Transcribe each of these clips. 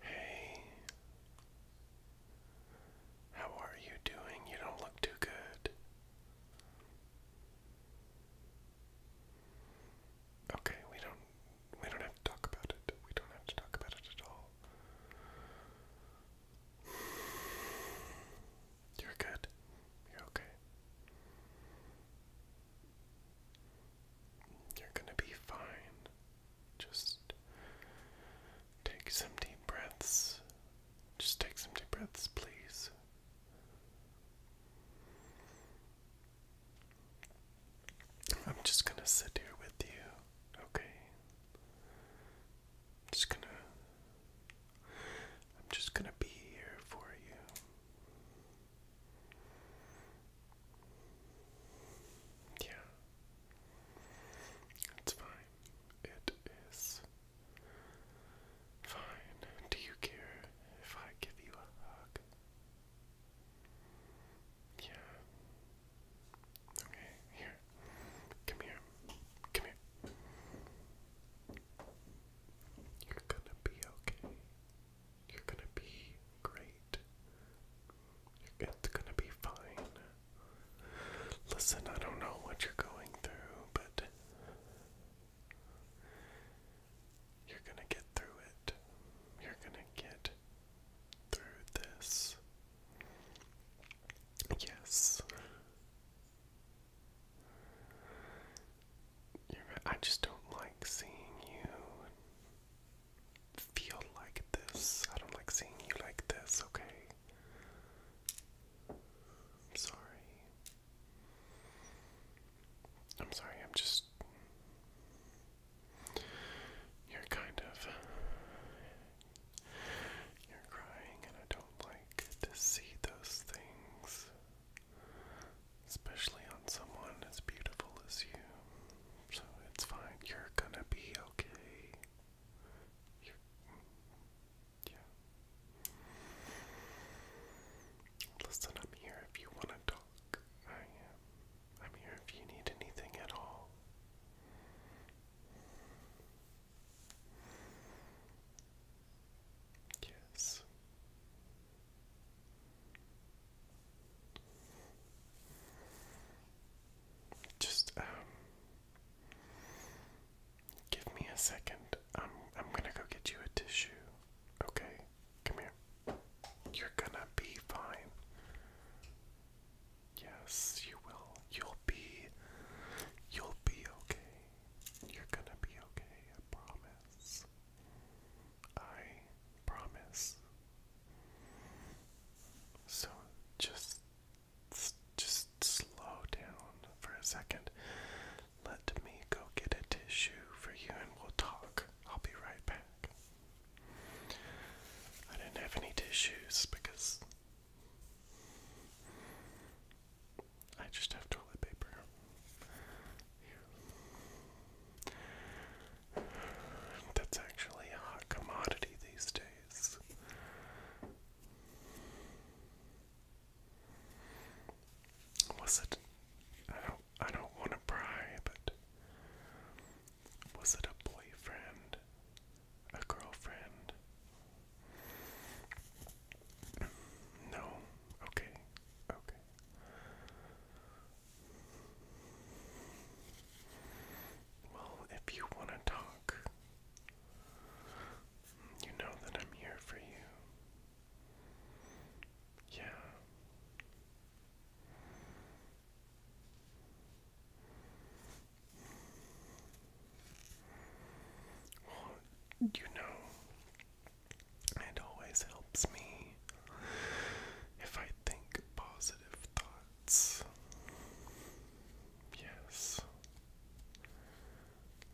Hey. How are you doing? You don't look too good. Okay, we don't we don't have to talk about it. We don't have to talk about it at all. You're good. You're okay. You're going to be fine. Just take some deep breaths. Just take some deep breaths, please. I'm just going to sit here with you, okay? just going to I'm just going to be here for you. Yeah. It's fine. It is fine. Do you care if I give you a hug? Yeah. Okay, here. Come here. Come here. You're gonna be okay. You're gonna be great. It's gonna be fine. Listen, I don't know what you're going through, but you're gonna get through it. You're gonna get through this. Yes. I just don't like seeing you feel like this. I don't like seeing you like this, okay? I'm sorry. I'm sorry, I'm just. You're kind of. You're crying, and I don't like to see those things especially on someone as beautiful as you. So it's fine. You're gonna be okay. Mm, yeah. Listen, I'm here if you want to talk. I am. I'm here if you need anything at all. Yes. Just um give me a second. I'm I'm gonna go get you a tissue. Okay? Come here. You're gonna be fine. Yes, you will. You'll be you'll be okay. You're gonna be okay, I promise. I promise. So just just slow down for a second. Let me go get a tissue for you and we'll talk. I'll be right back. I didn't have any tissues because I just have toilet paper. That's actually a hot commodity these days. Was it? I don't. I don't want to pry, but was it a boyfriend, a girlfriend? No. Okay. Okay. Well, if you want to talk, you know that I'm here for you. Yeah. Well, you know, it always helps me if I think positive thoughts. Yes.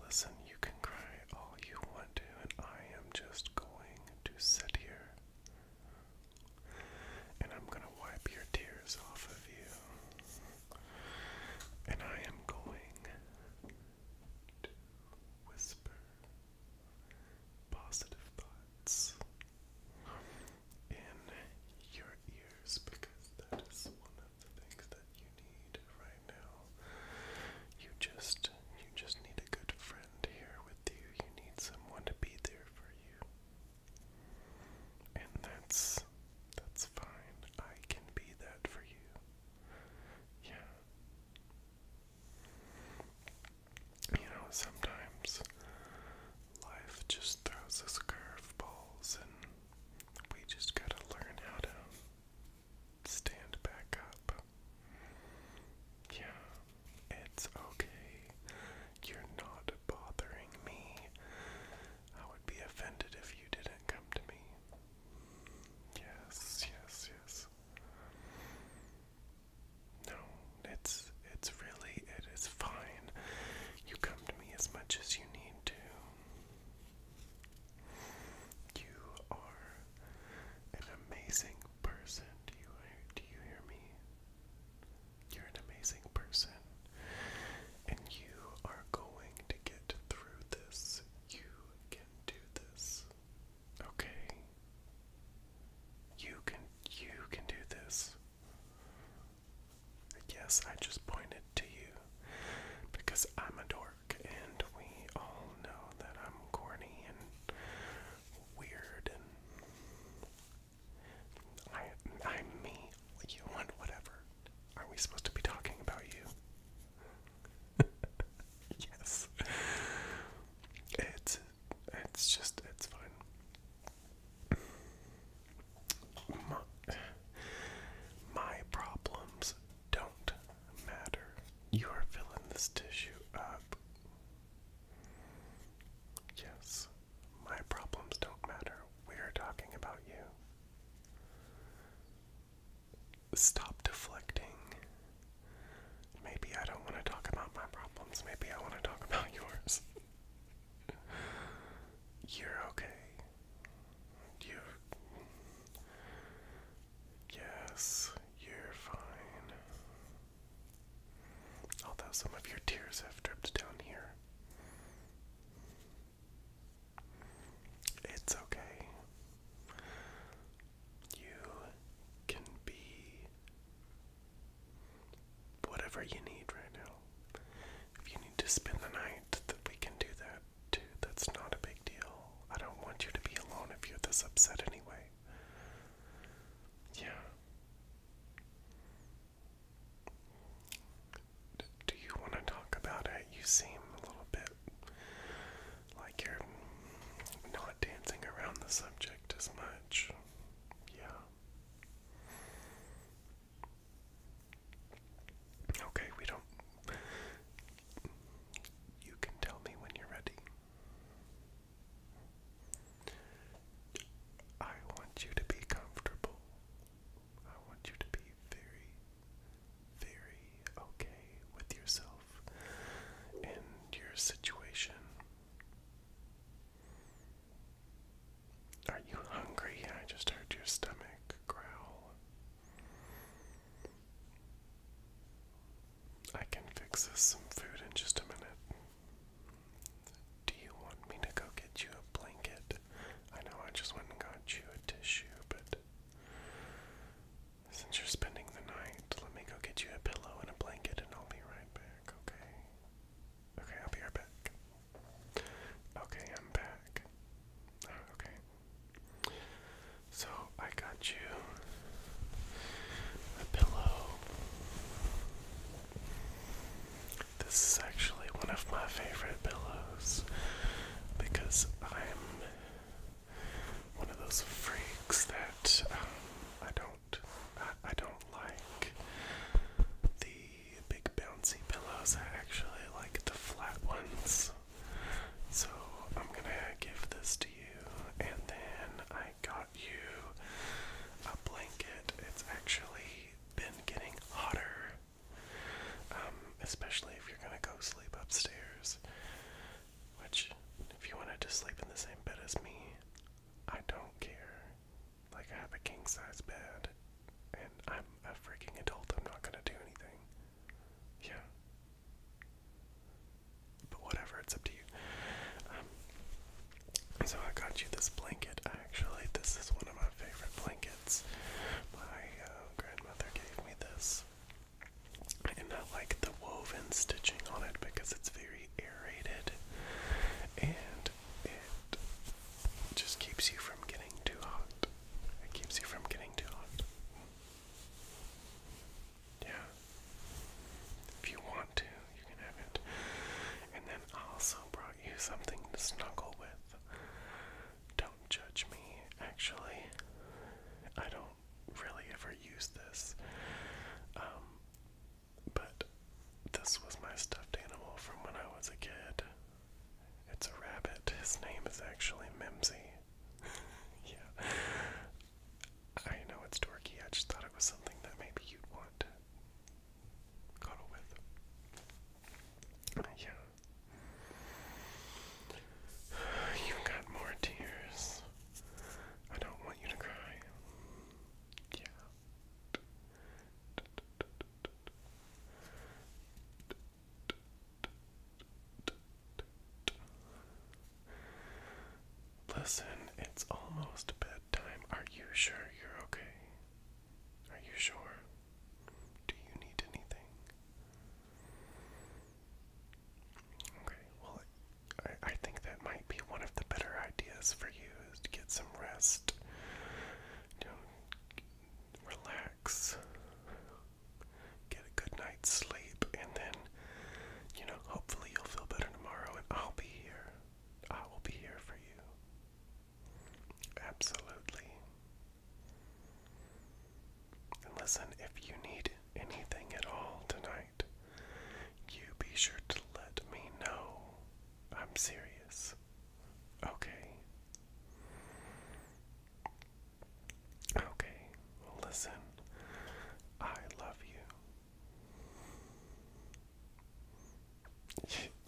Listen, you can cry all you want to, and I am just going to sit here. And I'm going to wipe your tears off of you. And I am going to whisper positive thoughts in your ears because that is one of the things that you need right now. You just you just need a good friend here with you. You need someone to be there for you. And that's that's fine. I can be that for you. Yeah, you know, sometimes life just throws us curveballs, and we just gotta learn how to stand back up. Yeah, it's okay. You're not bothering me. I would be offended if you didn't come to me. Yes, yes, yes. No, it's it's really it is fine. You come to me as much as you need to. You are an amazing person. Do you do you hear me? You're an amazing person. And you are going to get through this. You can do this. Okay. You can you can do this. Yes, I just pointed to you because I'm a dork and we all know that I'm corny and weird and I I'm me. You want whatever. Are we supposed to be talking about you? yes. It's it's just it's fun. my problems don't matter. You are filling this tissue up. Yes, my problems don't matter. We are talking about you stop deflecting. Maybe I don't want to talk about my problems. Maybe I want to talk about yours. You're okay. You. Yes, you're fine. Although some of your tears have dripped down here. It's okay. You can be whatever you need right now. If you need to spend the night, we can do that too. That's not a big deal. I don't want you to be alone if you're this upset anyway. Yeah. do you want to talk about it? You seem a little bit like you're not dancing around the subject as much. Yeah. Okay, we don't. You can tell me when you're ready. I want you to be comfortable. I want you to be very, very okay with yourself and your situation. Are you hungry? I just heard your stomach growl. I can fix us some food in just a minute. Do you want me to go get you a blanket? I know I just went and got you a tissue, but since you're spending the night, let me go get you a pillow and a blanket and I'll be right back, okay? Okay, I'll be right back. Okay, I'm back. Ah, okay. So I got you a pillow. This is actually one of my favorite pillows because I'm one of those freaks that um, I don't I don't like the big bouncy pillows. I actually like the flat ones. So I'm gonna give this to you, and then I got you a blanket. It's actually been getting hotter um, especially if you're gonna go sleep upstairs. Which, if you wanted to sleep in the same bed as me, I don't care. Like, I have a king size bed, and I'm a freaking adult, I'm not gonna do anything. Yeah. But whatever, it's up to you. Um, so, I got you this blanket. Actually, this is one of my favorite blankets. My uh, grandmother gave me this this. And I like the woven stitching on it because it's very aerated and it just keeps you from getting too hot. It keeps you from getting too hot. Yeah. If you want to, you can have it. And then also brought you something to snuggle with. Don't judge me, actually. I don't really ever use this. Um, but this was my stuffed animal from when I was a kid. It's a rabbit. His name is actually Mimsy. yeah. I know it's dorky. I just thought it was something that maybe you'd want to cuddle with. Yeah, You've got more tears. I don't want you to cry. Yeah. Listen, it's almost bedtime. Are you sure you're okay? Are you sure? Do you need anything? Okay, well, I, I think that might be one of the better ideas for you is to get some rest. relax, get a good night's sleep, and then, you know, hopefully you'll feel better tomorrow, and I'll be here. I will be here for you. Absolutely. And listen, if you need anything at all tonight, you be sure to let me know. I'm serious. Okay. Okay, listen, I love you.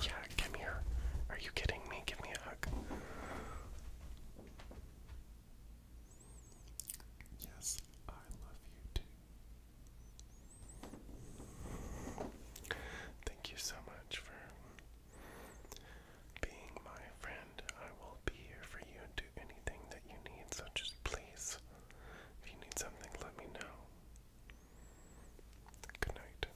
Yeah, come here. Are you kidding me? Give me a hug. Yes, I love you too. Thank you so much for being my friend. I will be here for you and do anything that you need, Such as, please, if you need something, let me know. Good night.